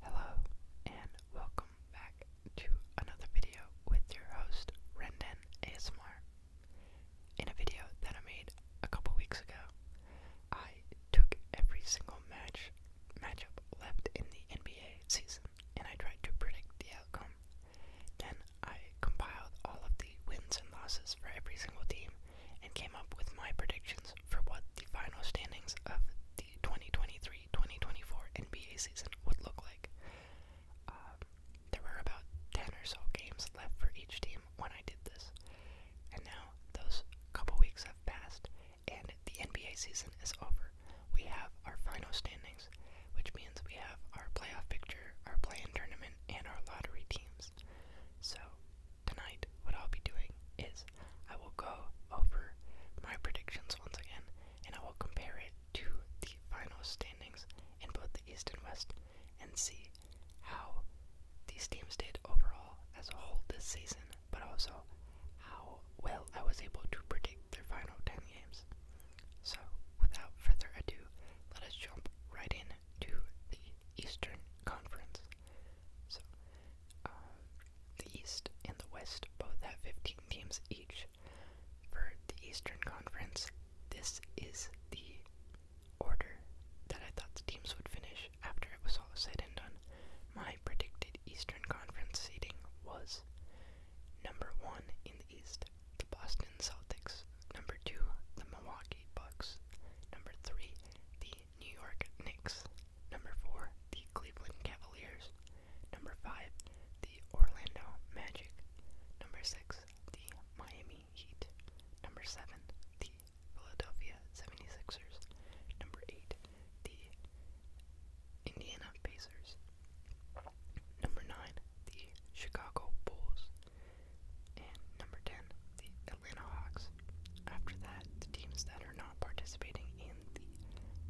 Hello, and welcome back to another video with your host, Rendon Asmar. In a video that I made a couple weeks ago, I took every single match matchup left in the NBA season and I tried to predict the outcome. Then I compiled all of the wins and losses for every single team and came up with my predictions for what the final standings of the 2023 2024 NBA season would look like. Um, there were about 10 or so games left for each team when I did this, and now those couple weeks have passed, and the NBA season is over. We have our final standings, which means we have our playoff picture, our play in tournament, and our lottery teams. So, tonight, what I'll be doing is I will go over my predictions once again, and I will compare it to the final standings in both the East and West, and see how these teams did overall as a whole this season, but also how well I was able to predict their final 10 games. So, without further ado, let us jump right in to the Eastern Conference. So, the East and the West both have 15 teams each. For the Eastern Conference, this is the order that I thought the teams would finish after it was all said and done. My predicted Eastern Conference seating was number one in the East, the Boston Celtics, number two, the Milwaukee Bucks, number three, the New York Knicks. Number 4, the Cleveland Cavaliers. Number 5, the Orlando Magic. Number 6, the Miami Heat. Number 7, the Philadelphia 76ers. Number 8, the Indiana Pacers. Number 9, the Chicago Bulls. And number 10, the Atlanta Hawks. After that, the teams that are not participating in the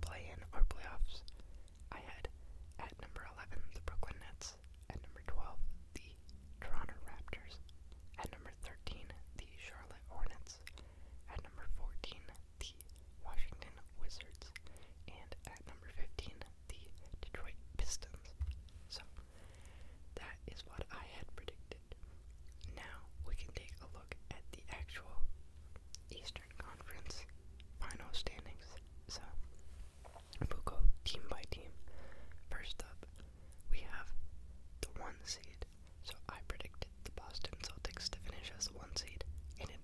play-in or playoffs, I had at number 11 the Brooklyn Nets, at number 12 the Toronto Raptors, at number 13 the Charlotte Hornets, at number 14 the Washington Wizards, and at number 15 the Detroit Pistons. So that is what I had predicted. Now we can take a look at the actual Eastern Conference final standings. So, we'll go team by team. First up, we have the one seed. So, I predicted the Boston Celtics to finish as the one seed, and it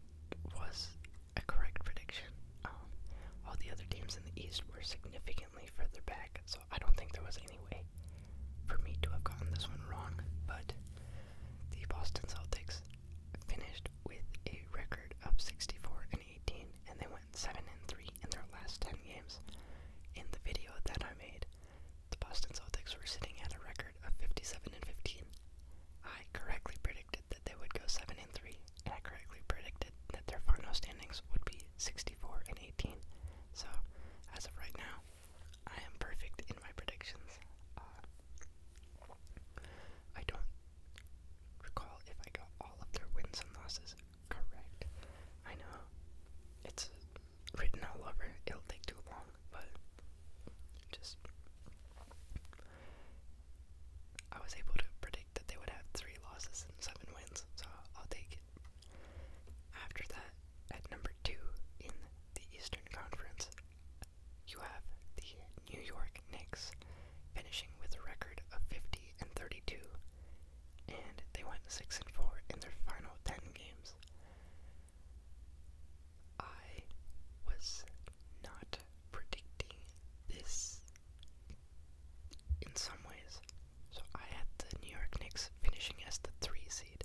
was a correct prediction. Um, all the other teams in the East were significantly further back, so I don't think there was any way for me to have gotten this one wrong, but the Boston Celtics finished with a record of 64 and 18, and they went 7 and 3 in their last 10 games. In the video that I made, the Boston Celtics were sitting at a record of 57 and 15. I correctly predicted that they would go 7 and 3, and I correctly predicted that their final standings would be 64 and 18. So, as of right now, I am perfect in my predictions. Uh, I don't recall if I got all of their wins and losses correct. I know it's written all over, it'll take too long, but just. I was able to predict that they would have three losses and seven wins, so I'll take it. After that, at number two in the Eastern Conference, you have the New York Knicks finishing with a record of 50 and 32, and they went 6 and 4 in their final 10 games. I was not predicting this in some ways, so I had the New York Knicks finishing as the 3 seed.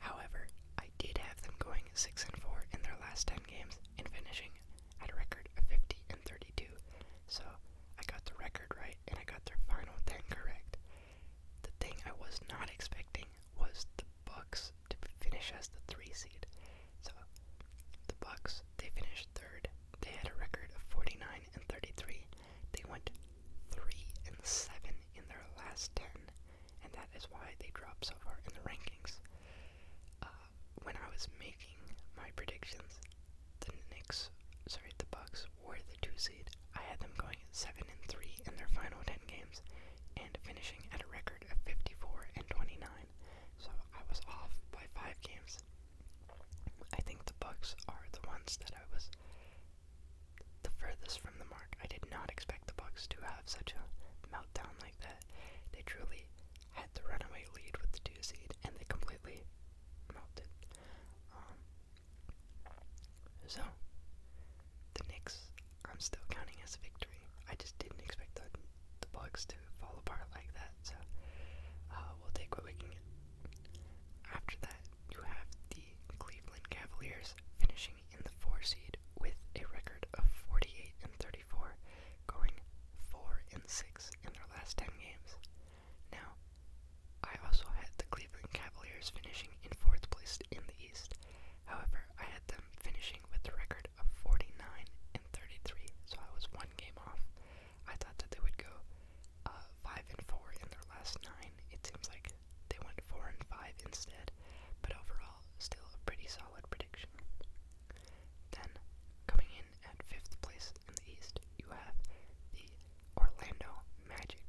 However, I did have them going 6 and 4 in their last 10 games and finishing at a record of 50 and 32. So I got the record right and I got their final 10 correct. The thing I was not expecting was the Bucks to finish as the 3 seed. So the Bucks, they finished third. They had a record of 49 and 33. They went 3 and 7 in their last 10 and that is why they dropped so far in the rankings. Uh, when I was making my predictions, the Knicks, sorry, the Bucks were the two seed. I had them going seven and three in their final ten games, and finishing at a record of fifty-four and twenty-nine. So I was off by five games. I think the Bucks are the ones that I was the furthest from the mark. I did not expect the Bucks to have such a meltdown like that. They truly had the runaway lead with the two seed, and they completely melted. Um, so the Knicks, I'm still counting as a victory. I just didn't expect the the Bucks to fall apart like that. So uh, we'll take what we can get. After that, you have the Cleveland Cavaliers finishing in the four seed with a record of 48 and 34, going 4 and 6 in their last 10 games. Now, I also had the Cleveland Cavaliers finishing in fourth place in the East. However, I had them finishing with a record of 49 and 33, so I was one game off. I thought that they would go uh, 5 and 4 in their last 9. It seems like they went 4 and 5 instead, but overall, still a pretty solid prediction. Then, coming in at 5th place in the East, you have the Orlando Magic.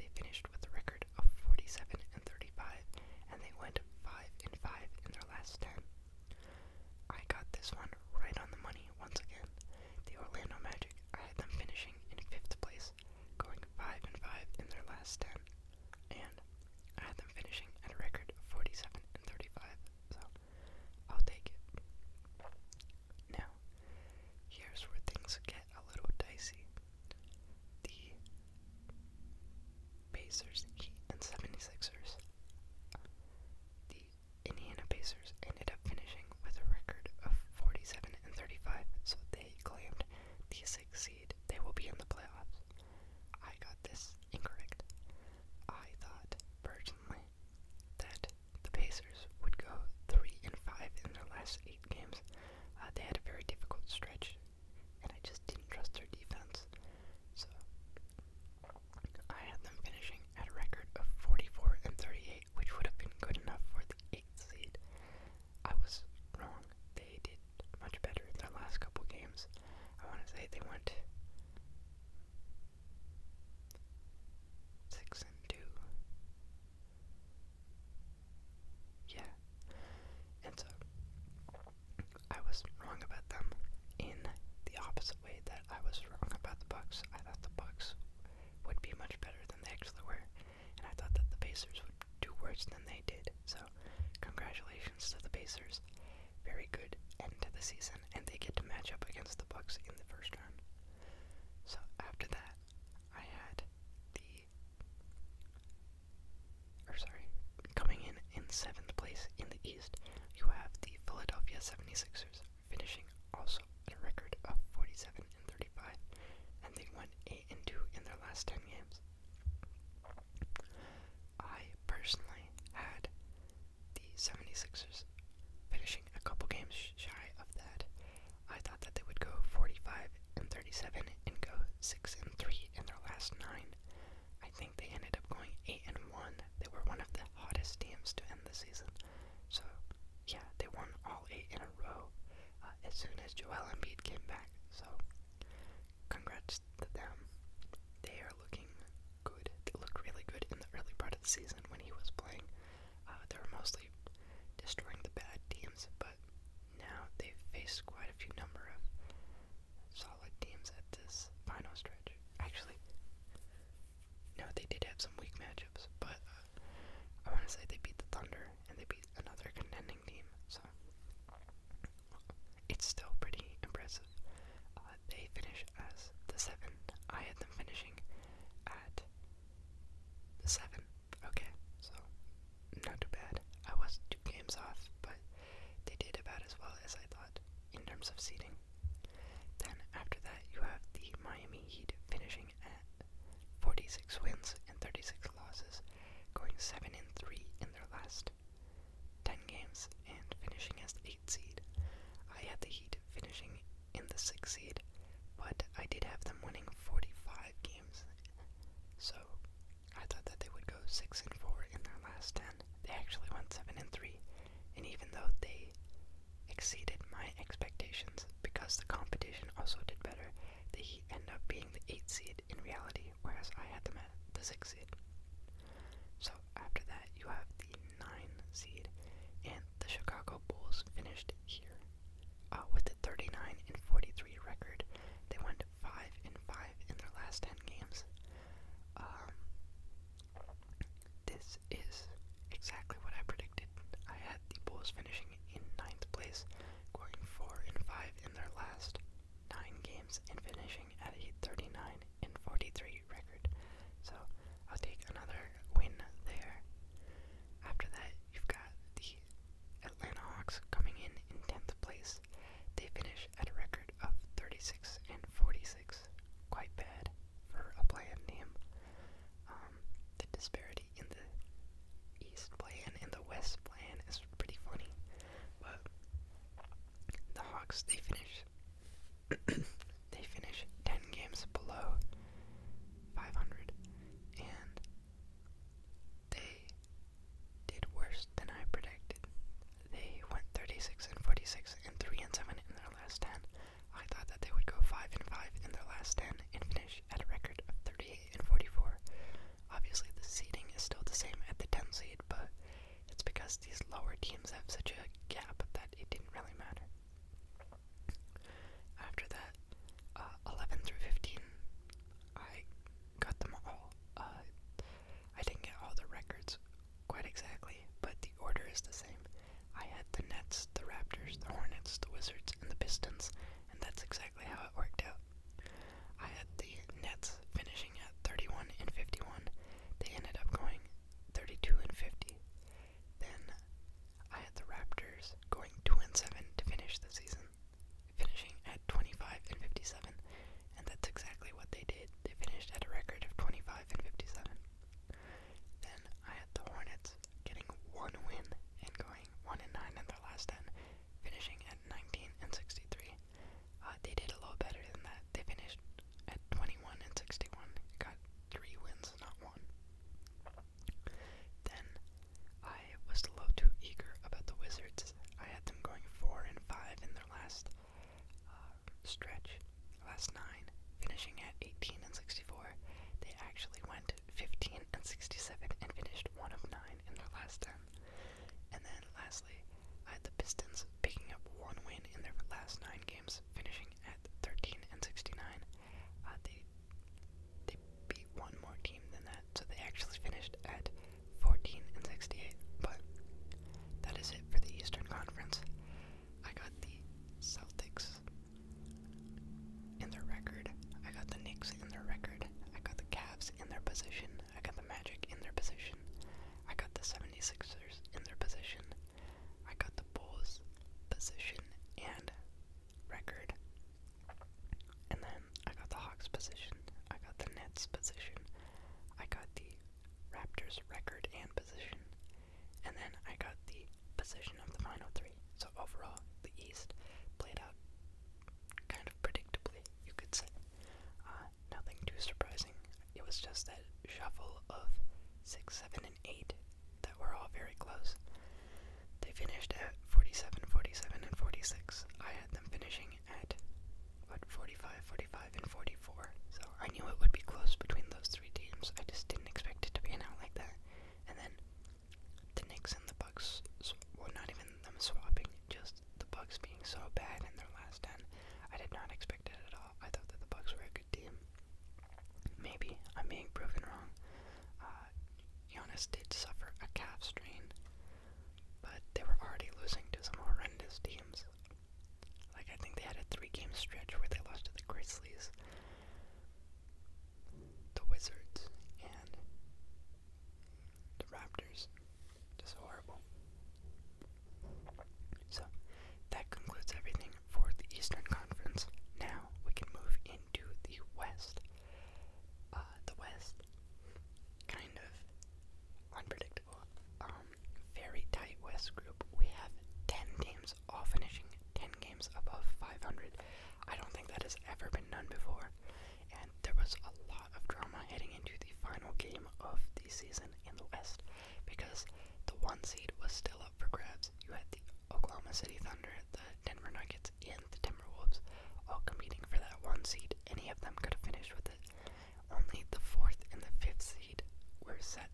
They finished with a record of 47 and 35, and they went 5 and 5 in their last 10. I got this one right on the money once again. The Orlando Magic, I had them finishing in 5th place going 5 and 5 in their last 10, and I had them finishing at a record 47 and 35, so I'll take it. Now, here's where things get a little dicey. The Pacers, Heat, and 76ers. The Indiana Pacers ended up finishing with a record of 47 and 35, so they claimed the sixth they will be in the playoffs. I got this incorrect. I thought, personally, that the Pacers would go 3 and 5 in their last 8 games. Uh, they had a very difficult stretch, and I just didn't trust their defense. So, I had them finishing at a record of 44 and 38, which would have been good enough for the 8th seed. I was wrong. They did much better in their last couple games. I want to say they went six and two. Yeah, and so I was wrong about them in the opposite way that I was wrong about the Bucks. I thought the Bucks would be much better than they actually were and I thought that the Pacers would do worse than they did. So, congratulations to the Pacers. Very good end to the season, and they get to match up against the Bucks in the first round. So after that, I had the, or sorry, coming in in seventh place in the East. You have the Philadelphia 76ers finishing also at a record of 47 and 35, and they won 8 and 2 in their last 10 games. I personally had the 76ers finishing a couple games shy of that. I thought that they would go 45 and 37 and go 6 and 3 in their last 9. I think they ended up going 8 and 1. They were one of the hottest teams to end the season. So, yeah, they won all 8 in a row uh, as soon as Joel Embiid came back. So, Congrats to them. They are looking good. They looked really good in the early part of the season when he was playing. Uh, they were mostly destroying the bad teams, but now they've faced quite a few number of solid teams at this final stretch. Actually, no, they did have some weak matchups, but uh, I want to say they beat the Thunder and they beat another contending team. So it's still pretty impressive. Uh, they finish as the seven. I had them finishing at the seven. Okay, so not too bad. I was two games off, but they did about as well as I thought in terms of seeding. Then after that, you have the Miami Heat finishing at 46 wins and 36 losses, going 7 and 3 in their last 10 games and finishing as the 8 seed. I had the Heat finishing in the 6 seed, but I did have them winning 45 games. So, I thought that they would go 6 and 4 in their last 10. They actually went 7 and 3, and even though they exceeded my expectations because the competition also did better, the Heat ended up being the 8 seed in reality whereas I had the six seed. So after that, you have the nine seed, and the Chicago Bulls finished here uh, with a 39 and 43 record. They went five and five in their last ten games. Um, this is exactly what I predicted. I had the Bulls finishing in ninth place, going four and five in their last nine games and finishing at a 39 and 43 record. So I'll take another win there. After that, you've got the Atlanta Hawks coming in in 10th place. They finish at a record of 36 and 46. Quite bad for a play team. Um, the disparity in the East play and the West play is pretty funny. But the Hawks they finish they finish ten games below five hundred and they did worse than I predicted. They went 36 and 46 and 3 and 7 in their last 10. I thought that they would go 5 and 5 in their last 10 and finish at a record of 38 and 44. Obviously, the seeding is still the same at the 10 seed, but it's because these lower teams have such a gap that it didn't really matter. After that, uh, 11 through 15, I got them all. Uh, I didn't get all the records quite exactly, but the order is the same. I had the Nets, the Raptors, the Hornets, the Wizards, and the Pistons, and that's exactly how it worked out. I had the Nets finishing at 31 and 51. They ended up going 32 and 50. Then I had the Raptors going 2 and 7 to finish the season, finishing at 25 and 57. And that's exactly what they did. They finished at a record of 25 and 57. Then I had the Hornets getting one win and going 1 and 9 in their last 10 finishing at 19 and 63. Uh, they did a little better than that. They finished at 21 and 61. Got three wins, not one. Then I was a little too eager about the Wizards. I had them going four and five in their last uh, stretch, last nine, finishing at 18 and 64. They actually went 15 and 67 and finished one of nine in their last 10. And then lastly, I had the Pistons picking up one win in their last 9 games, finishing at 13 and 69. Uh, they they beat one more team than that, so they actually finished at 14 and 68. But that is it for the Eastern Conference. I got the Celtics in their record. I got the Knicks in their record. I got the Cavs in their position. I got the Magic in their position. I got the 76ers in their position. I got the Bulls position and record. And then I got the Hawks position. I got the Nets position. I got the Raptors record and position. And then I got the position of the final three. So overall, the East played out kind of predictably, you could say. Uh, nothing too surprising. It was just that shuffle of 6, 7, and 8 that were all very close. They finished at 47, 47, and 46. I had them finishing at, what, 45, 45, and 44. So I knew it would be close between those three teams. I just didn't expect it to pan out like that. And then the Knicks and the Bucks, were not even and them swapping, just the bugs being so bad in their last 10. I did not expect it at all. I thought that the bugs were a good team. Maybe I'm being proven wrong. Uh, Giannis did suffer a calf strain, but they were already losing to some horrendous teams. Like, I think they had a three game stretch where they lost to the Grizzlies, the Wizards, and the Raptors. Just horrible. So, that concludes everything for the Eastern Conference. Now we can move into the West. Uh, the West, kind of unpredictable. Um, very tight West group. We have 10 teams all finishing 10 games above 500. I don't think that has ever been done before and there was a lot of drama heading into the final game of the season in the West because the one seed was still up for grabs. You had the Oklahoma City Thunder, the Denver Nuggets, and the Timberwolves all competing for that one seed. Any of them could have finished with it. Only the fourth and the fifth seed were set,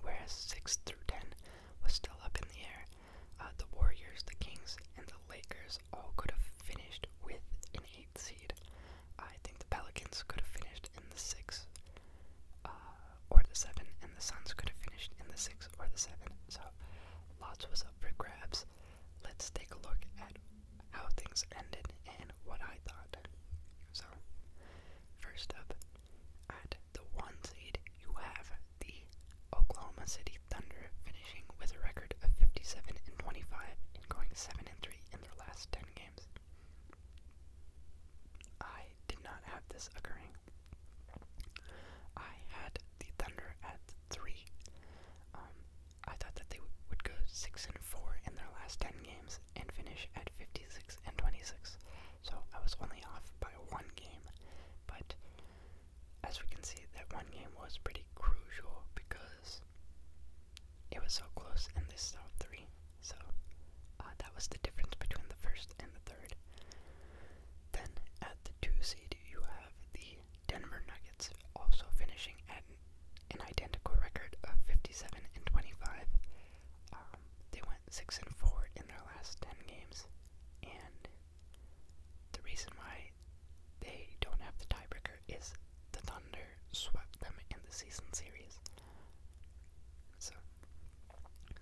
whereas six through ten was still up in the air. Uh, the Warriors, the Kings, and the Lakers all could have finished with an eighth seed. I think the Pelicans could have finished in the 6 uh, or the 7, and the Suns could have finished in the 6 or the 7. So lots was up for grabs. Let's take a look at how things ended and what I thought. So, first up, at the 1 seed, you have the Oklahoma City Thunder finishing with a record of 57 and 25 and going 7 and 3 in their last 10 games. I did not have this occurring. I had the Thunder at 3. Um, I thought that they would go 6 and 4 in their last 10 games and finish at 56 and 26. So I was only off by one game, but as we can see, that one game was pretty crucial because it was so close and this still three. So uh, that was the difference between the first and the third. Then at the two seed, you have the Denver Nuggets, also finishing at an identical record of 57 and 25. Um, they went six and four in their last 10 games, and the reason why they don't have the tiebreaker is the Thunder swept them in the season series. So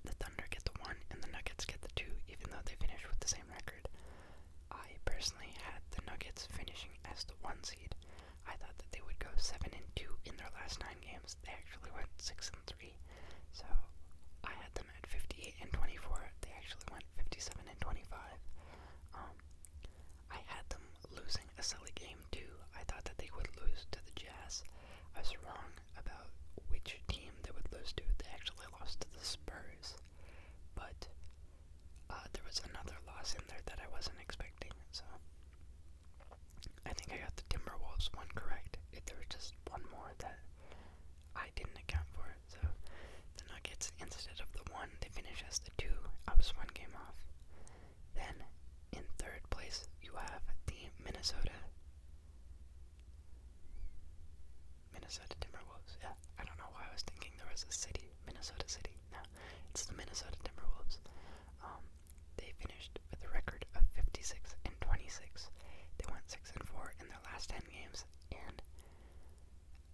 the Thunder get the one and the Nuggets get the two, even though they finished with the same record. I personally had the Nuggets finishing as the one seed. I thought that they would go seven and two in their last nine games. They actually went six and three. So I had them at fifty eight and twenty four. They actually went fifty seven and twenty five. Um, I had them losing a silly game too. I thought that they would lose to the Jazz. I was wrong about which team they would lose to. They actually lost to the Spurs. But uh, there was another loss in there that I wasn't expecting, so I think I got the Timberwolves one correct. It, there was just one more that I didn't account for. So the Nuggets, instead of the one, they finish as the two. I one game off. Then in third place, you have the Minnesota. Minnesota Timberwolves. Yeah, I don't know why I was thinking there was a city, Minnesota City. No, it's the Minnesota Timberwolves. Um, they finished with a record of 56 and 26. They went 6 and 4 in their last 10 games, and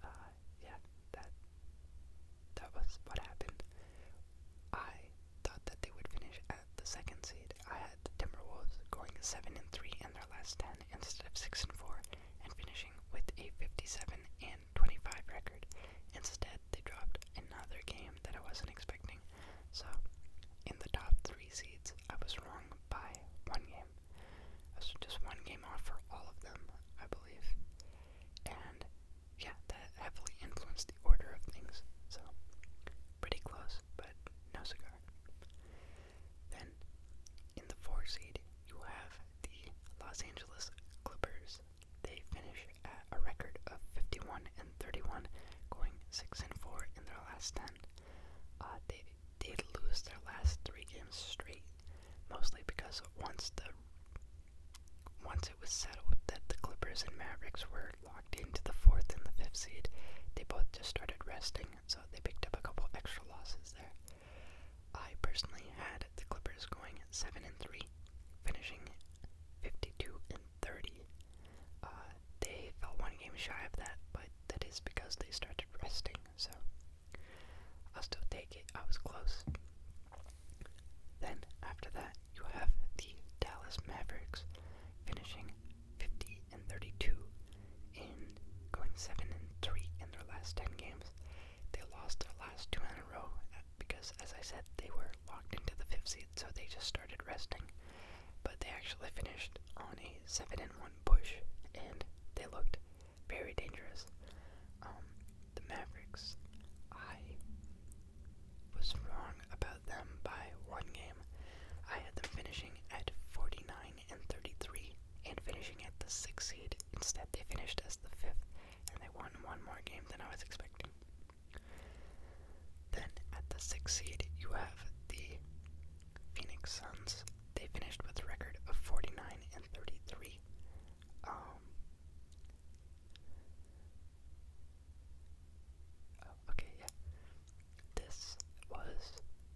uh, yeah, that that was what happened. I thought that they would finish at the second seed. I had the Timberwolves going seven and three in their last ten instead of six and four, and finishing with a fifty-seven and twenty-five record. Instead, they dropped another game that I wasn't expecting. So, in the top three seeds, I was wrong by one game. I just one game off for all of them, I believe and yeah, that heavily influenced the order of things. So, pretty close, but no cigar. Then, in the four seed, you have the Los Angeles Clippers. They finish at a record of 51 and 31, going 6 and 4 in their last 10. Uh, they did lose their last three games straight mostly because once the once it was settled that the Clippers and Mavericks were locked into the fourth and the fifth seed, they both just started resting, so they picked up a couple extra losses there. I personally had the Clippers going seven and three, finishing fifty-two and thirty. Uh, they felt one game shy of that, but that is because they started resting. So I'll still take it. I was close. Then, after that, you have the Dallas Mavericks finishing 50 and 32 in going 7 and 3 in their last 10 games. They lost their last two in a row uh, because, as I said, they were locked into the fifth seed, so they just started resting. But they actually finished on a 7 and 1 push, and they looked very dangerous. Um, the Mavericks, I was wrong about them by one game. I had them finishing at 49 and 33 and finishing at the 6th seed. Instead, they finished as the 5th and they won one more game than I was expecting. Then, at the 6th seed, you have the Phoenix Suns. They finished with a record of 49 and 33. Um, oh, okay, yeah. This was.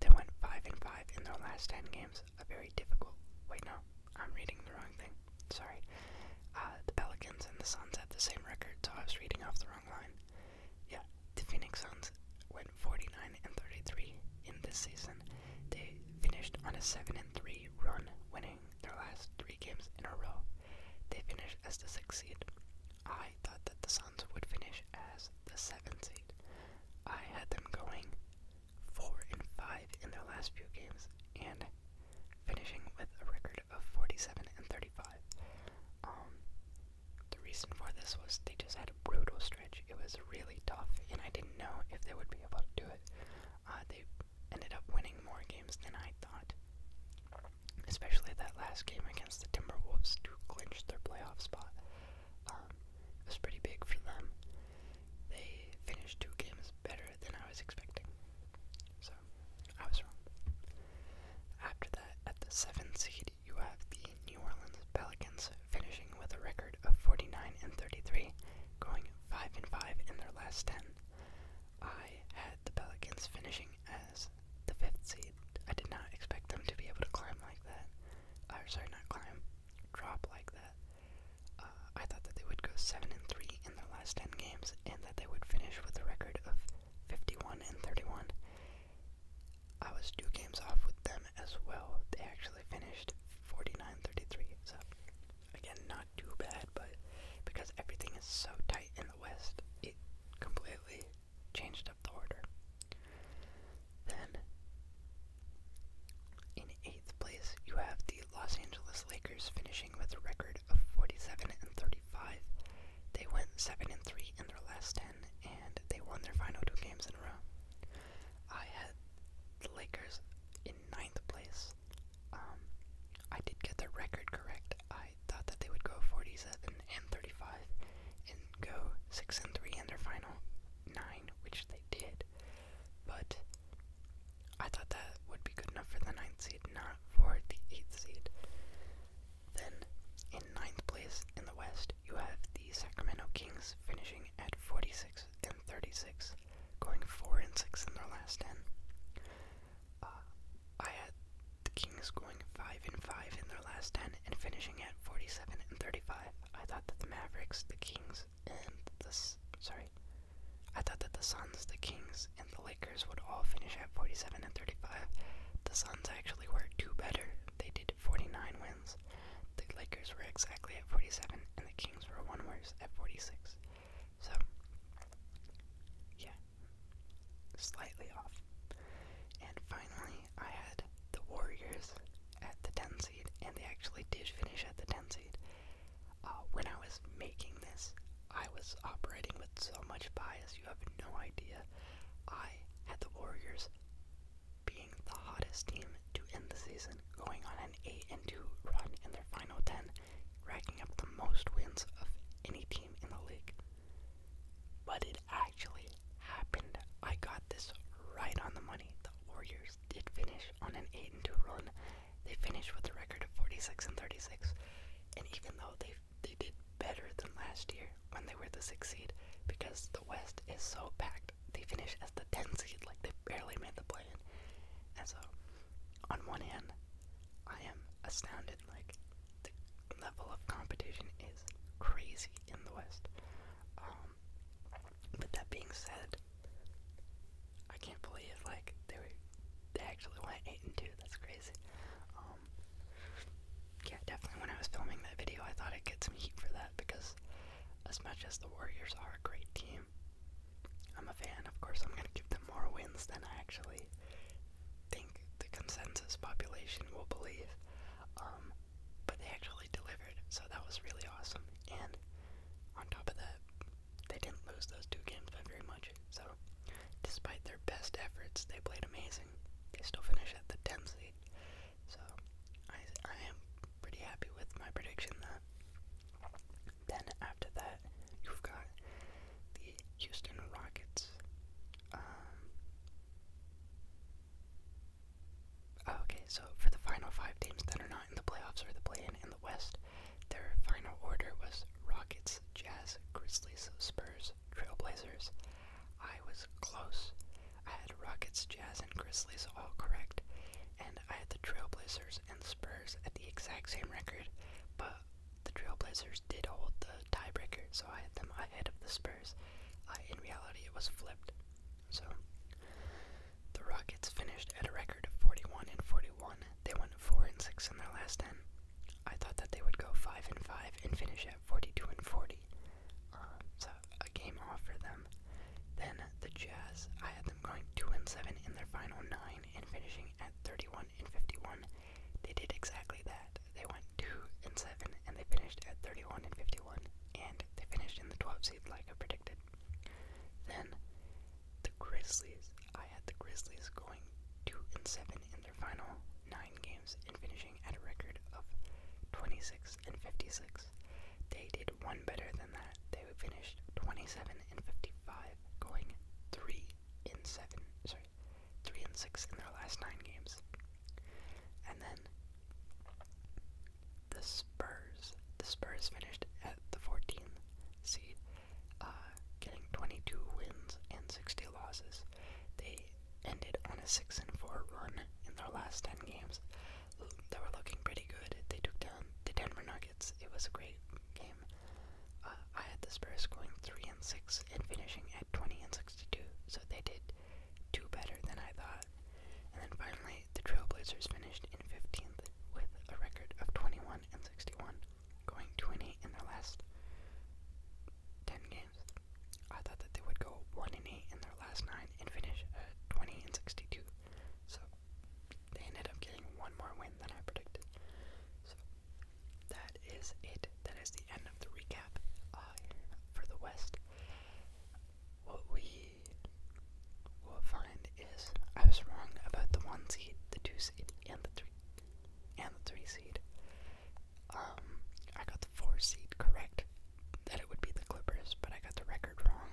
They went 5 and 5 in their last 10 games. A very difficult. Wait, no. I'm reading the wrong thing. Sorry. Uh, the Pelicans and the Suns had the same record, so I was reading off the wrong line. Yeah, the Phoenix Suns went 49 and 33 in this season. They finished on a 7 3 run, winning their last three games in a row. They finished as the sixth seed. I thought that the Suns would finish as the seventh seed. I had them going 4 and 5 in their last few games and finishing with a record of 47 and 35. Um, the reason for this was they just had a brutal stretch. It was really tough, and I didn't know if they would be able to do it. Uh, they ended up winning more games than I thought, especially that last game against the Timberwolves to clinch their playoff spot. Um, it was pretty big for them. They finished two games better than I was expecting, so I was wrong. After that, at the seventh seed, you have the New Orleans Pelicans finishing with a record of 49 and 33, going five and five in their last ten. I had the Pelicans finishing as the fifth seed. I did not expect them to be able to climb like that. Or uh, sorry, not climb, drop like that. Uh, I thought that they would go seven and three in their last ten games, and that they would finish with a record of fifty-one and thirty-one. I was two games off with them as well. They actually finished 49-33, so Again, not too bad, but because everything is so tight in the West, it completely changed up the order. Then, in eighth place, you have the Los Angeles Lakers finishing with a record of 47 and 35. They went 7 and 3 in their last 10, and they won their final two games in a row. I had the Lakers in ninth place. Um, I did get the record correct. I thought that they would go 47 and 35 and go 6 and 3 in their final 9, which they did. But I thought that would be good enough for the ninth seed, not for the eighth seed. Then, in ninth place in the West, you have the Sacramento Kings finishing at 46 and 36 going four and six in their last ten. Uh, I had the Kings going five and five in their last ten and finishing at forty-seven and thirty-five. I thought that the Mavericks, the Kings, and the sorry, I thought that the Suns, the Kings, and the Lakers would all finish at forty-seven and thirty-five. The Suns actually were two better. They did forty-nine wins. The Lakers were exactly at forty-seven, and the Kings were one worse at forty-six. So, yeah, slightly off. And finally, I had the Warriors at the 10 seed, and they actually did finish at the 10 seed. Uh, when I was making this, I was operating with so much bias, you have no idea. I had the Warriors being the hottest team to end the season, going on an 8 and 2 run in their final 10, racking up the most wins of any team in the league. But it actually happened. I got this right on the money. The Warriors did finish on an 8 and 2 run. They finished with a record of 46 and 36. And even though they they did better than last year when they were the 6th seed because the West is so packed, they finished as the 10 seed like they barely made the play in. And so on one hand, I am astounded. Like the level of competition is crazy in the West. Um, but that being said, I can't believe like they they actually went eight and two. That's crazy. Um, yeah, definitely. When I was filming that video, I thought I'd get some heat for that because as much as the Warriors are a great team. I'm a fan, of course, I'm going to give them more wins than I actually think the consensus population will believe. Um, but they actually delivered, so that was really awesome. And on top of that, they didn't lose those two games by very much. So, despite their best efforts, they played amazing. They still finish at the 10 seed. So, I, I am pretty happy with my prediction that then after that, you've got the Houston Rockets. Um, oh, okay, so for the final five teams that are not in the playoffs or the play-in in the West, their final order was Rockets, Jazz, Grizzlies, Spurs, Trailblazers. I was close. I had Rockets, Jazz, and Grizzlies all correct, and I had the Trailblazers and Spurs at the exact same record, but the Trailblazers did hold the tiebreaker, so I had them ahead of the Spurs. in reality, it was flipped. So the Rockets finished at a record of 41 and 41. They went 4 and 6 in their last 10. I thought that they would go 5 and 5 and finish at 42 and 40. Uh, so a game off for them. Then the Jazz, I had them going 2 and 7 in their final 9 and finishing at 31 and 51. They did exactly that. They went 2 and 7 and they finished at 31 and 51 and they finished in the 12 seed like I predicted. Then the Grizzlies. I had the Grizzlies going 2 and 7 in their final 9 games and finishing at a record of 26 and 56. They did one better than that. They finished 27 and 55 going three in seven, sorry, three and six in their last nine games. And then the Spurs, the Spurs finished at the 14th seed, uh, getting 22 wins and 60 losses. They ended on a six and four run in their last 10 games. They were looking pretty good. They took down the Denver Nuggets. It was a great game. Uh, I had the Spurs going three and six and finishing at twenty and sixty-two, so they did two better than I thought. And then finally, the Trailblazers finished in fifteenth with a record of twenty-one and sixty-one, going two and eight in their last ten games. I thought that they would go one and eight in their last nine and finish at twenty and sixty-two. So they ended up getting one more win than I predicted. So that is it. That is the end of the recap uh, for the West. What we will find is I was wrong about the one seed, the two seed, and the three and the three seed. Um, I got the four seed correct. That it would be the Clippers, but I got the record wrong.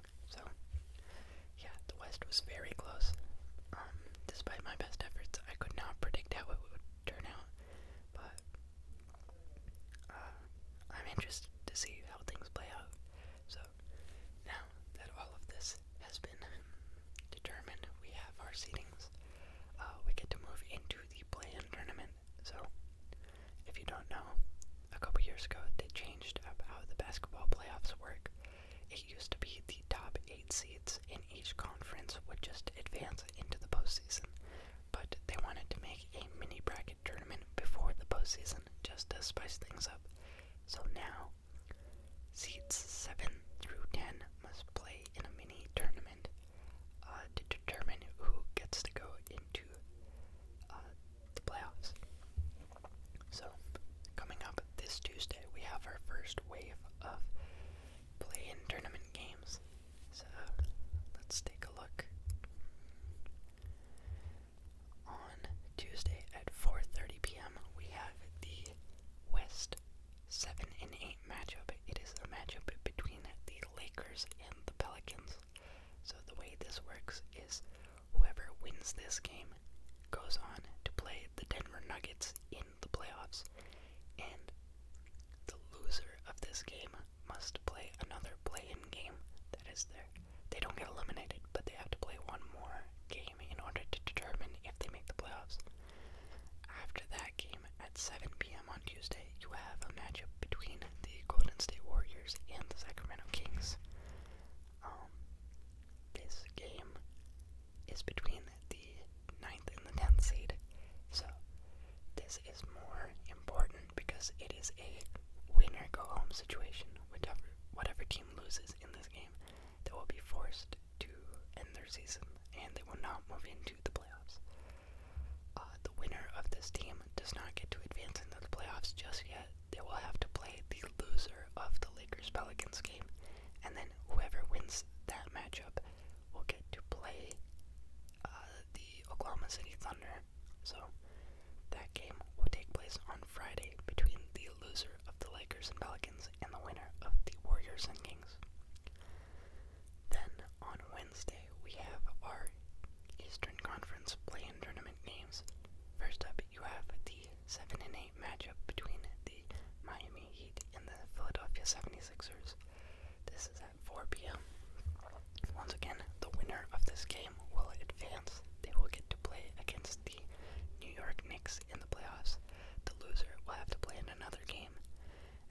wrong. So, yeah, the West was very close. Um, despite my best efforts, I could not predict how it would turn out. But uh, I'm interested to see how things play out. So, now that all of this has been determined, we have our seedings. Uh, we get to move into the play-in tournament. So, if you don't know, a couple years ago they changed up how the basketball playoffs work. It used to be the top eight seeds in each conference would just advance into the postseason, but they wanted to make a mini bracket tournament before the postseason just to spice things up. So now, seeds 7 through 10 must play in a mini tournament uh, to determine who gets to go into uh, the playoffs. So, coming up this Tuesday, we have our first wave of play in tournament games. So, let's take a look. On Tuesday at 4:30 p.m., we have the West 7 and 8 matchup. It is a matchup between the Lakers and the Pelicans. So the way this works is whoever wins this game goes on to play the Denver Nuggets in the playoffs, and the loser of this game must play another play-in game that is They don't get eliminated, but they have to play one more game in order to determine if they make the playoffs. After that game, at 7 p.m. on Tuesday, you have a matchup between the Golden State Warriors and the Sacramento Kings. Um, this game is between the ninth and the tenth seed, so this is more important because it is a winner go home situation. Whatever whatever team loses in this game, they will be forced to end their season and they will not move into the playoffs. Uh, the winner of this team does not get to advance into the playoffs just yet they will have to play the loser of the Lakers Pelicans game, and then whoever wins that matchup will get to play uh, the Oklahoma City Thunder. So that game will take place on Friday between the loser of the Lakers and Pelicans and the winner of the Warriors and Kings. Then on Wednesday, we have our Eastern Conference play tournament games. First up, you have the 7 and 8 matchup between the Miami Heat and the Philadelphia 76ers. This is at 4 p.m. Once again, the winner of this game will advance. They will get to play against the New York Knicks in the playoffs. The loser will have to play in another game.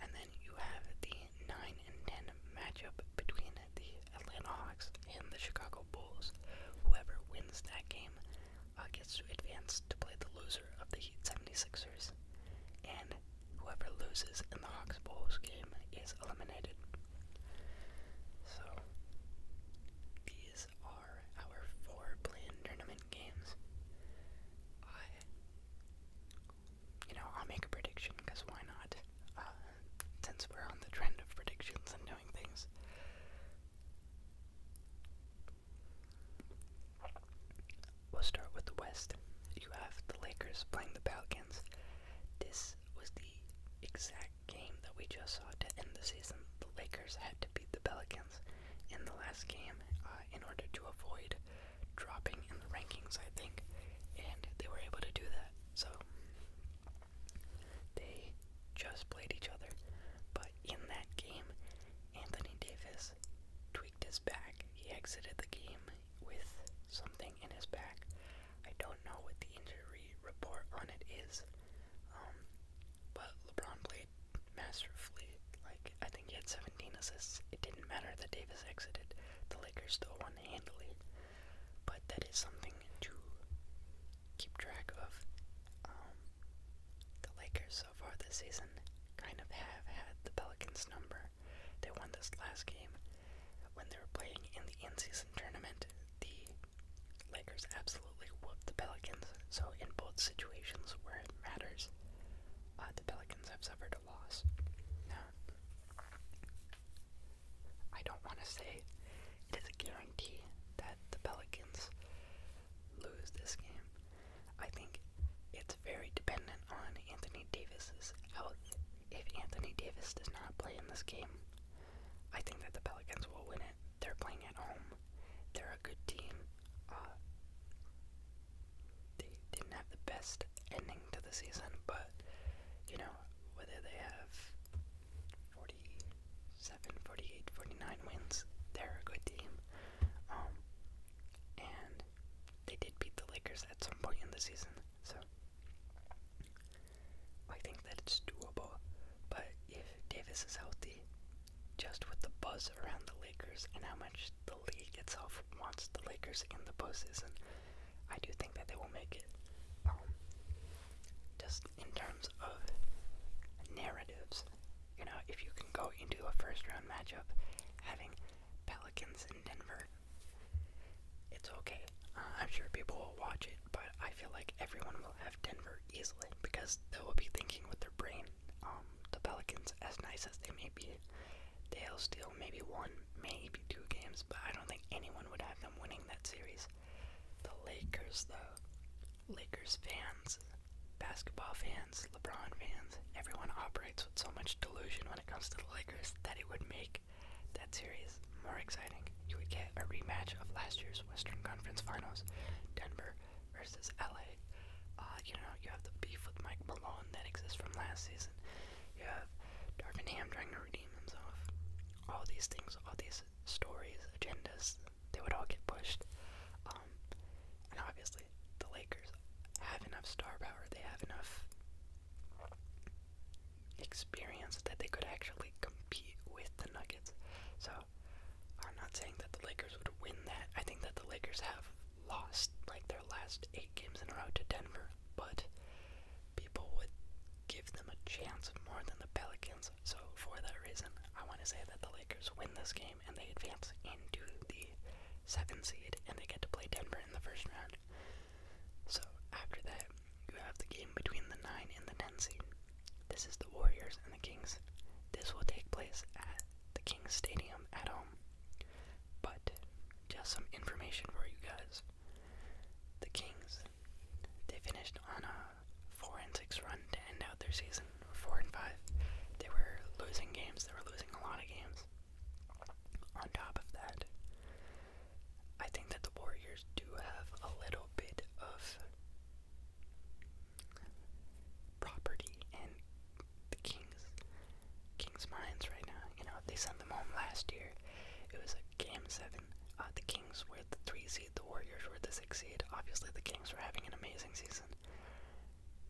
And then you have the 9 and 10 matchup between the Atlanta Hawks, and the Chicago Bulls. Whoever wins that game uh, gets to advance to play the loser of the Heat 76ers, and whoever loses in the Hawks Bulls game is eliminated. So, these are our four tournament games. you know, I'll make a prediction because why not? Uh, since we're on the trend of predictions and knowing things. We'll start with the West. You have the Lakers playing the Pelicans. This was the exact game that we just saw to end the season. The Lakers had to beat the Pelicans in the last game uh, in order to avoid dropping in the rankings, I think, and they were able to do that. So they just played each other, but in that game, Anthony Davis tweaked his back. He exited the game with something in his back. I don't know what the injury report on it is, um, but LeBron played masterfully. Like, I think he had 17 assists. It didn't matter that Davis exited, the Lakers still won handily. But that is something to keep track of. Um, the Lakers so far this season kind of have had the Pelicans' number. They won this last game. When they were playing in the in season tournament, the Lakers absolutely whooped the Pelicans. So, in both situations where it matters, uh, the Pelicans have suffered a loss. Now, I don't want to say it is a guarantee that the Pelicans lose this game. I think it's very dependent on Anthony Davis's health. If Anthony Davis does not play in this game, I think that the Pelicans will win it. They're playing at home. They're a good team. Uh, they didn't have the best ending to the season, but you know whether they have four 47, 49 wins. They're a good team. Um, and they did beat the Lakers at some point in the season, so I think that it's doable. But if Davis is healthy, just with the buzz around the Lakers and how much the league itself wants the Lakers in the postseason, I do think that they will make it. Um, just in terms of narratives. You know, if you can go into a first round matchup having Pelicans in Denver, it's okay. Uh, I'm sure people will watch it, but I feel like everyone will have Denver easily because they will be thinking with their brain. Um, the Pelicans, as nice as they may be, they'll steal maybe one, maybe two games, but I don't think anyone would have them winning that series. The Lakers, though, Lakers fans, basketball fans, LeBron fans, everyone operates with so much delusion when it comes to the Lakers that it would make that series more exciting. You would get a rematch of last year's Western Conference Finals, Denver versus LA. Uh, you know, you have the beef with Mike Malone that exists from last season. You have Darvin Ham trying to redeem himself. All these things, all these stories, agendas, they would all get pushed. Um, and obviously, the Lakers have enough star power. They have enough experience that they could actually compete with the Nuggets. So, I'm not saying that the Lakers would win that. I think that the Lakers have lost like their last eight games in a row to Denver, but people would give them a chance more than the Pelicans. So for that reason, I want to say that the Lakers win this game and they advance into the seven seed and they get to play Denver in the first round. So after that, you have the game between the nine and the ten seed. This is the Warriors and the Kings. This will take place at the Kings Stadium at home. But just some information for you guys. The Kings they finished on a four and six run to end out their season. Four and five. They were losing games. They were losing a lot of games. On top of that, I think that the Warriors do have a little bit of property in the Kings. Kings' minds right now. You know, they sent them home last year. It was a game seven. Uh, Kings the three seed, the Warriors were the six seed. Obviously, the Kings were having an amazing season,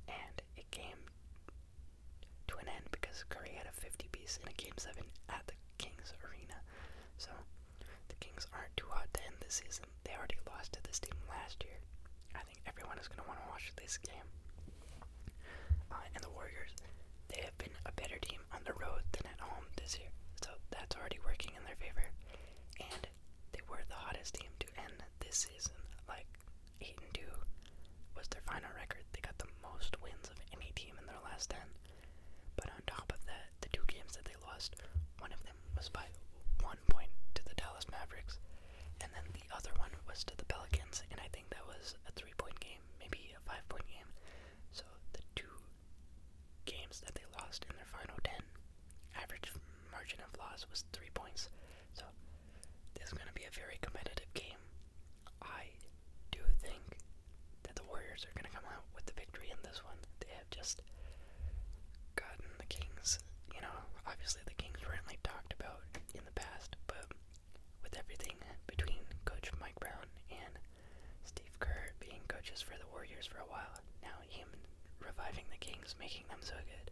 and it came to an end because Curry had a 50 piece in a game seven at the Kings Arena. So the Kings aren't too hot to end this season. They already lost to this team last year. I think everyone is going to want to watch this game. Uh, and the Warriors, they have been a better team on the road than at home this year. So that's already working in their favor and they were the hottest team to end this season. Like eight and two was their final record. They got the most wins of any team in their last ten. But on top of that, the two games that they lost, one of them was by one point to the Dallas Mavericks, and then the other one was to the Pelicans, and I think that was a three-point game, maybe a five-point game. So the two games that they lost in their final 10. Average margin of loss was 3 points. So, this is going to be a very competitive game. I do think that the Warriors are going to come out with the victory in this one. They have just gotten the Kings, you know, obviously the Kings weren't like talked about in the past, but with everything between Coach Mike Brown and Steve Kerr being coaches for the Warriors for a while, wow, now him reviving the Kings, making them so good,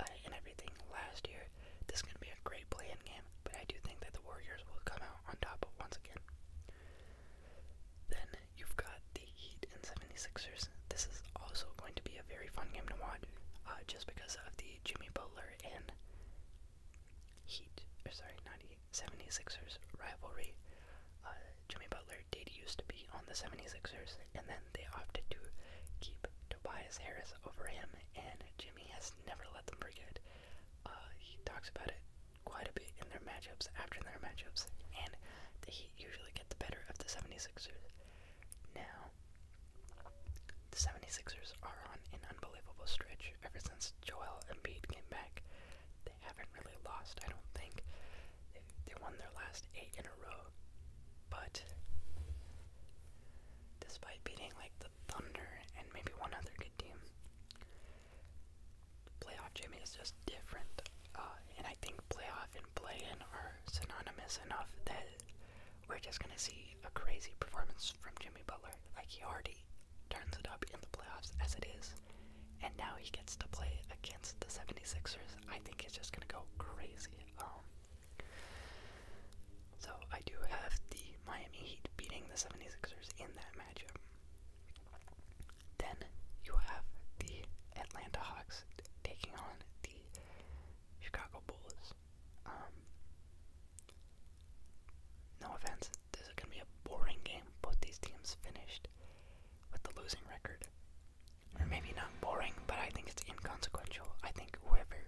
uh, and everything last year, this is going to be a great play-in game, but I do think that the Warriors will come out on top once again. Then you've got the Heat and 76ers. This is also going to be a very fun game to watch, uh, just because of the Jimmy Butler and Heat, or sorry, not Heat, 76ers rivalry. Uh, Jimmy Butler did used to be on the 76ers, and then they opted to keep Tobias Harris over him, and Jimmy has never let them forget. Uh, he talks about it quite a bit in their matchups, after their matchups, and the Heat usually get the better of the 76ers. Now, the 76ers are on an unbelievable stretch ever since Joel Embiid came back they haven't really lost, I don't think. They, won their last eight in a row. But despite beating like the Thunder and maybe one other good team, playoff Jimmy is just different. Uh, and I think playoff and play-in are synonymous enough that we're just gonna see a crazy performance from Jimmy Butler. Like he already turns it up in the playoffs as it is, and now he gets to play against the 76ers. I think he's just going to go crazy. Um, so I do have the Miami Heat beating the 76ers in that matchup. Then you have the Atlanta Hawks taking on the Chicago Bulls. Um, no offense, this is going to be a boring game. Both these teams finished with the losing record or maybe not boring, but I think it's inconsequential. I think whoever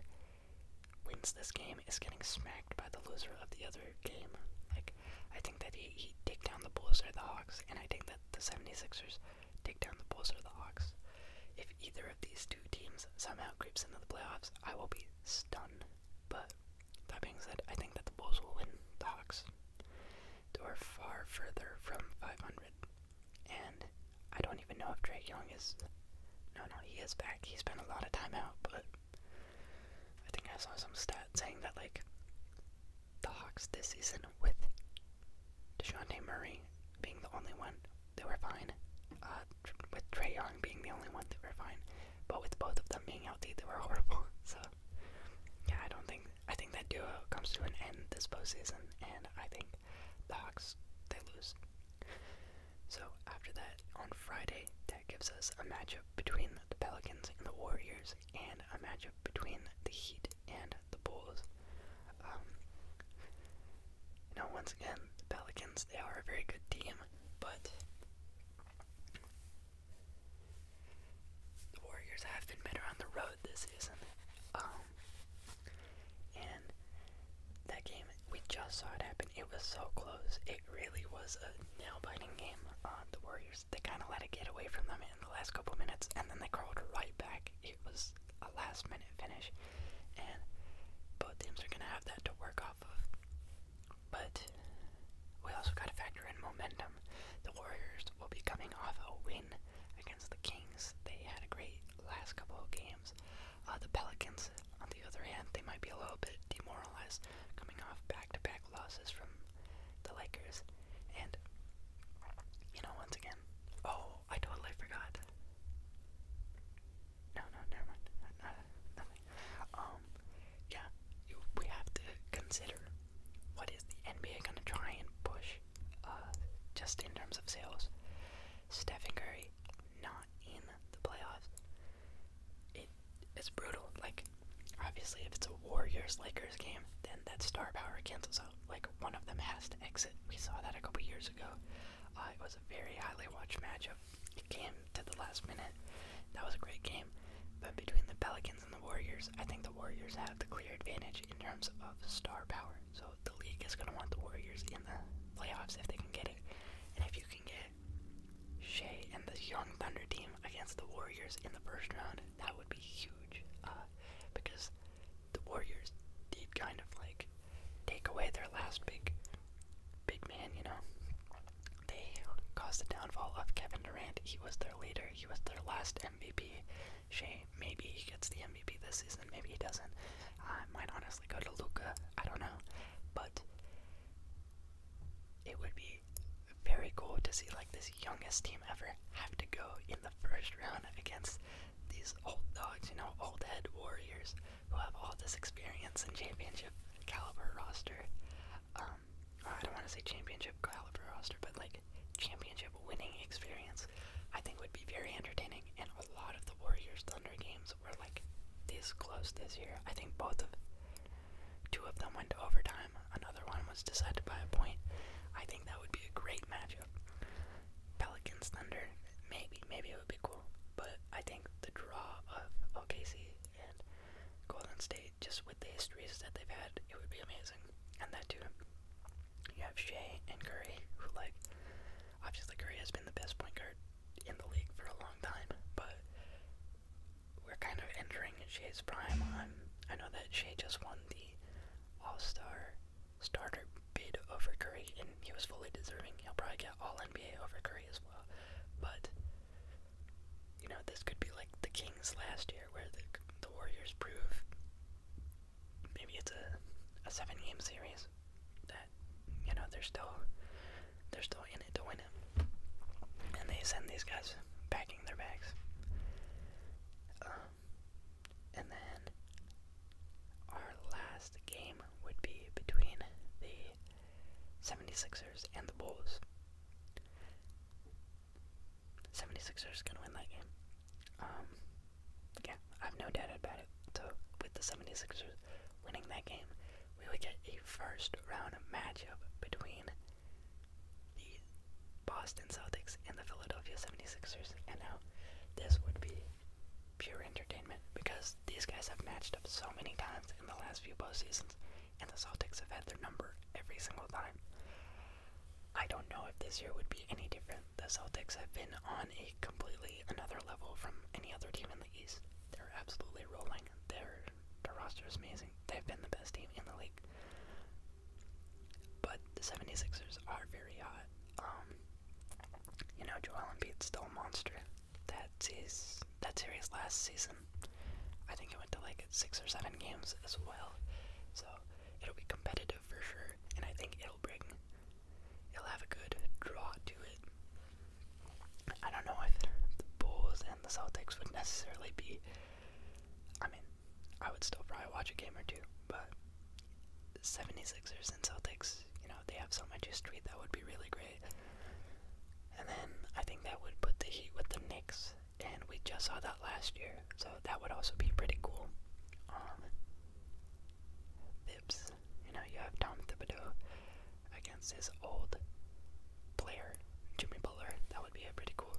wins this game is getting smacked by the loser of the other game. Like, I think that he, he take down the Bulls or the Hawks, and I think that the 76ers take down the Bulls or the Hawks. If either of these two teams somehow creeps into the playoffs, I will be stunned. But that being said, I think that the Bulls will win the Hawks or far further from 500. And I don't even know if Drake Young is. No, no, he is back. He spent a lot of time out, but I think I saw some stat saying that, like, the Hawks this season with DeJounte Murray being the only one, they were fine. Uh, with Trey Young being the only one, they were fine. But with both of them being healthy, they were horrible. So, yeah, I don't think I think that duo comes to an end this postseason, and I think the Hawks they lose. So after that, on Friday, that gives us a matchup between the Pelicans and the Warriors, and a matchup between the Heat and the Bulls. Um, you know, once again, the Pelicans they are a very good team, but the Warriors have been better on the road this season. Um, and that game, we just saw it happen. It was so close. It really was a nail-biting game on the Warriors. They kind of let it get away from them in the last couple minutes, and then they crawled right back. It was a last-minute finish, and both teams are going to have that to work off of. But we also got to factor in momentum. The Warriors will be coming off a win against the Kings. They had a great last couple of games. Uh, the Pelicans, on the other hand, they might be a little bit demoralized coming off back-to-back losses from the Lakers. And, you know, once again, oh, I totally forgot. No, no, never mind. Uh, nothing. Um, yeah, we have to consider what is the NBA going to try and push uh, just in terms of sales? Stephen Curry not in the playoffs. it's brutal. Like obviously, if it's a Warriors Lakers game, then that star power cancels out. Like one of them has to exit. We saw that a couple years ago. Uh, it was a very highly watched matchup. It came to the last minute. That was a great game. But between the Pelicans and the Warriors. I think the Warriors have the clear advantage in terms of star power. So the league is going to want the Warriors in the playoffs if they can get it. And if you can get Shea and the Young Thunder team against the Warriors in the first round, that would be huge. Uh, because the Warriors did kind of like take away their last big, big man, you know. They caused the downfall of Kevin Durant. He was their leader, he was their last MVP. Shea, maybe he gets the MVP this season, maybe he doesn't. I might honestly go to Luca, I don't know. But it would be very cool to see like this youngest team ever have to go in the first round against these old dogs, you know, old head warriors who have all this experience and championship caliber roster. Um, I don't want to say championship caliber roster, but like like championship winning experience, I think would be very entertaining. And a lot of the Warriors Thunder games were like this close this year. I think both of two of them went to overtime. Another one was decided by a point. I think that would be a great matchup. Pelicans Thunder, maybe, maybe it would be cool. But I think the draw of OKC and Golden State, just with the histories that they've had, it would be amazing. And that too. You have Shea and Curry, who like obviously Curry has been the best point guard in the league for a long time, but we're kind of entering Shea's prime. I'm, I know that Shea just won the All Star starter bid over Curry, and he was fully deserving. He'll probably get All NBA over Curry as well, but you know this could be like the Kings last year, where the the Warriors prove maybe it's a, a seven game series that you know they're still they're still in it to win it, and they send these guys packing their bags. Um, and then our last game would be between the 76ers and the Bulls. 76ers going to win that game. Um, yeah, I have no doubt about it. So, with the 76ers winning that game, we would get a first round matchup between the Boston Celtics and the Philadelphia 76ers. And now, this would be pure entertainment because these guys have matched up so many times in the last few postseasons, and the Celtics have had their number every single time. I don't know if this year would be any different the Celtics have been on a completely another level from any other team in the East. They're absolutely rolling. Their roster is amazing. They've been the best team in the league. But the 76ers are very hot. Um, you know, Joel Embiid's still a monster. That's his that series last season. I think it went to like six or seven games as well. So it'll be competitive for sure beer, and I think it'll bring, it'll have a good draw to it. I don't know if the Bulls and the Celtics would necessarily be. I mean, I would still probably watch a game or two, but 76ers and Celtics, you know, they have so much history, that would be really great. And then I think that would put the Heat with the Knicks, and we just saw that last year. So that would also be pretty cool. Um, you know, you have Tom Thibodeau against his old player, Jimmy Butler. That would be a pretty cool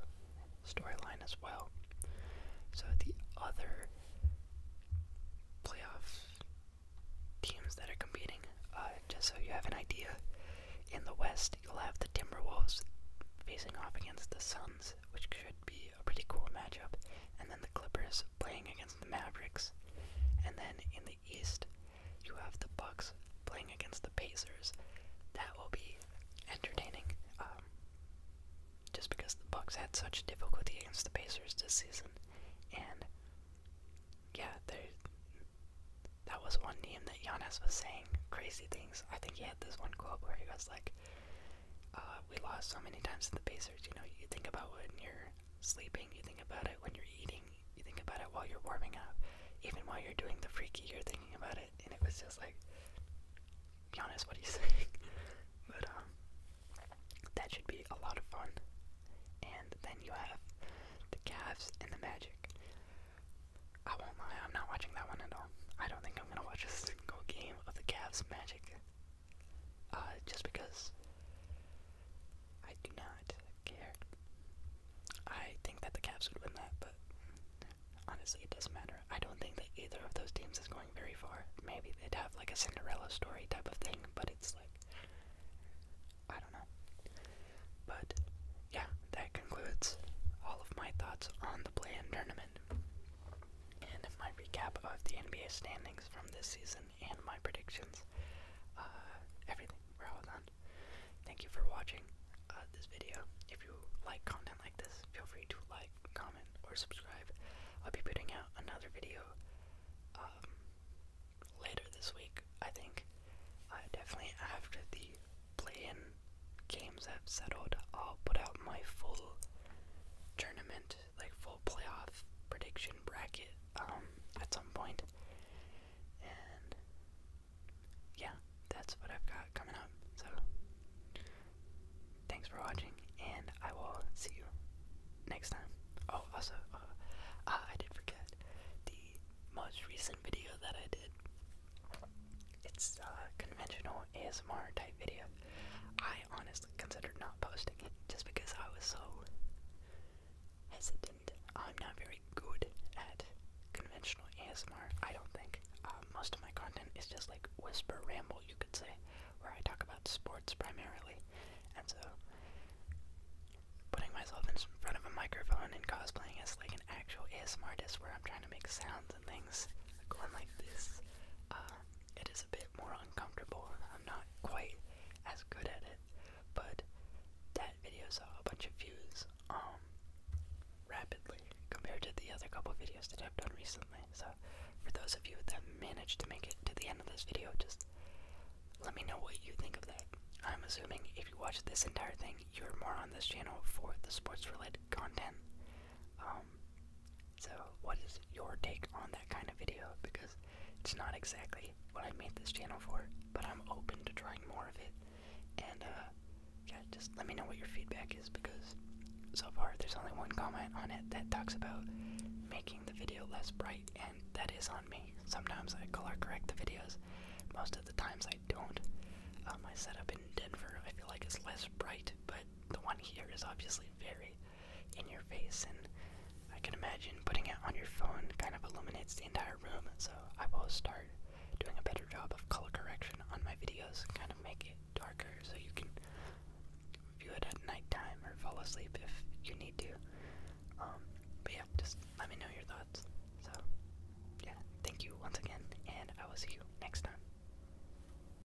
storyline as well. So the other playoff teams that are competing, uh, just so you have an idea, in the West you'll have the Timberwolves facing off against the Suns which should be a pretty cool matchup, and then the Clippers playing against the Mavericks. And then in the East, you have the Bucks playing against the Pacers. That will be entertaining. Um, just because the Bucks had such difficulty against the Pacers this season, and yeah, there's that was one name that Giannis was saying crazy things. I think he had this one quote where he was like, uh, we lost so many times to the Pacers. You know, you think about when you're sleeping, you think about it when you're eating, you think about it while you're warming up, even while you're doing the freaky, you're thinking about it. And it was just like, be honest, what are you saying? but um, that should be a lot of fun. And then you have the Cavs and the Magic. I won't lie, I'm not watching that one at all. I don't think I'm gonna watch this single game of the Cavs Magic. Uh, just because I do not care. I think that the Cavs would win that, but honestly, it doesn't matter. I don't think that either of those teams is going very far. Maybe they'd have like a Cinderella story type of thing, but it's like. I don't know. But yeah, that concludes all of my thoughts on the play tournament and my recap of the NBA standings from this season and my predictions. Uh, everything. We're Thank you for watching uh, this video. If you like content like this, feel free to like, comment, or subscribe. I'll be putting out another video um, later this week, I think. definitely after the play games have settled, I'll put out my full tournament, like full playoff prediction bracket, um, at some And yeah, that's what I've got coming up. So thanks for watching, and I will see you next time. Oh, also, uh, ah, I did forget the most recent video that I did. It's uh, conventional ASMR type video. I honestly considered not posting it just because I was so hesitant. I'm not very good at conventional ASMR, I don't think. Uh, most of my content is just like whisper ramble, you could say, where I talk about sports primarily. And so, putting myself in front of a microphone and cosplaying is like an actual ASMR artist where I'm trying to make sounds and things going like this, uh, it is a bit more uncomfortable. I'm not quite as good at it, but that video saw a bunch of views um, rapidly compared to the other couple videos that I've done recently. So for those of you that managed to make it to the end of this video, just let me know what you think of that. I'm assuming if you watch this entire thing, you're more on this channel for the sports related content. Um, um, so, what is your take on that kind of video? Because it's not exactly what I made this channel for, but I'm open to trying more of it. And, uh, yeah, just let me know what your feedback is because so far there's only one comment on it that talks about making the video less bright, and that is on me. Sometimes I color correct the videos, most of the times I don't. Um, my setup in Denver I feel like is less bright, but the one here is obviously very in your face, and I can imagine putting it on your phone kind of illuminates the entire room, so I will start doing a better job of color correction on my videos, kind of make it darker so you can view it at nighttime or fall asleep if you need to. Um, but yeah, just let me know your thoughts. So, yeah, thank you once again, and I will see you next time.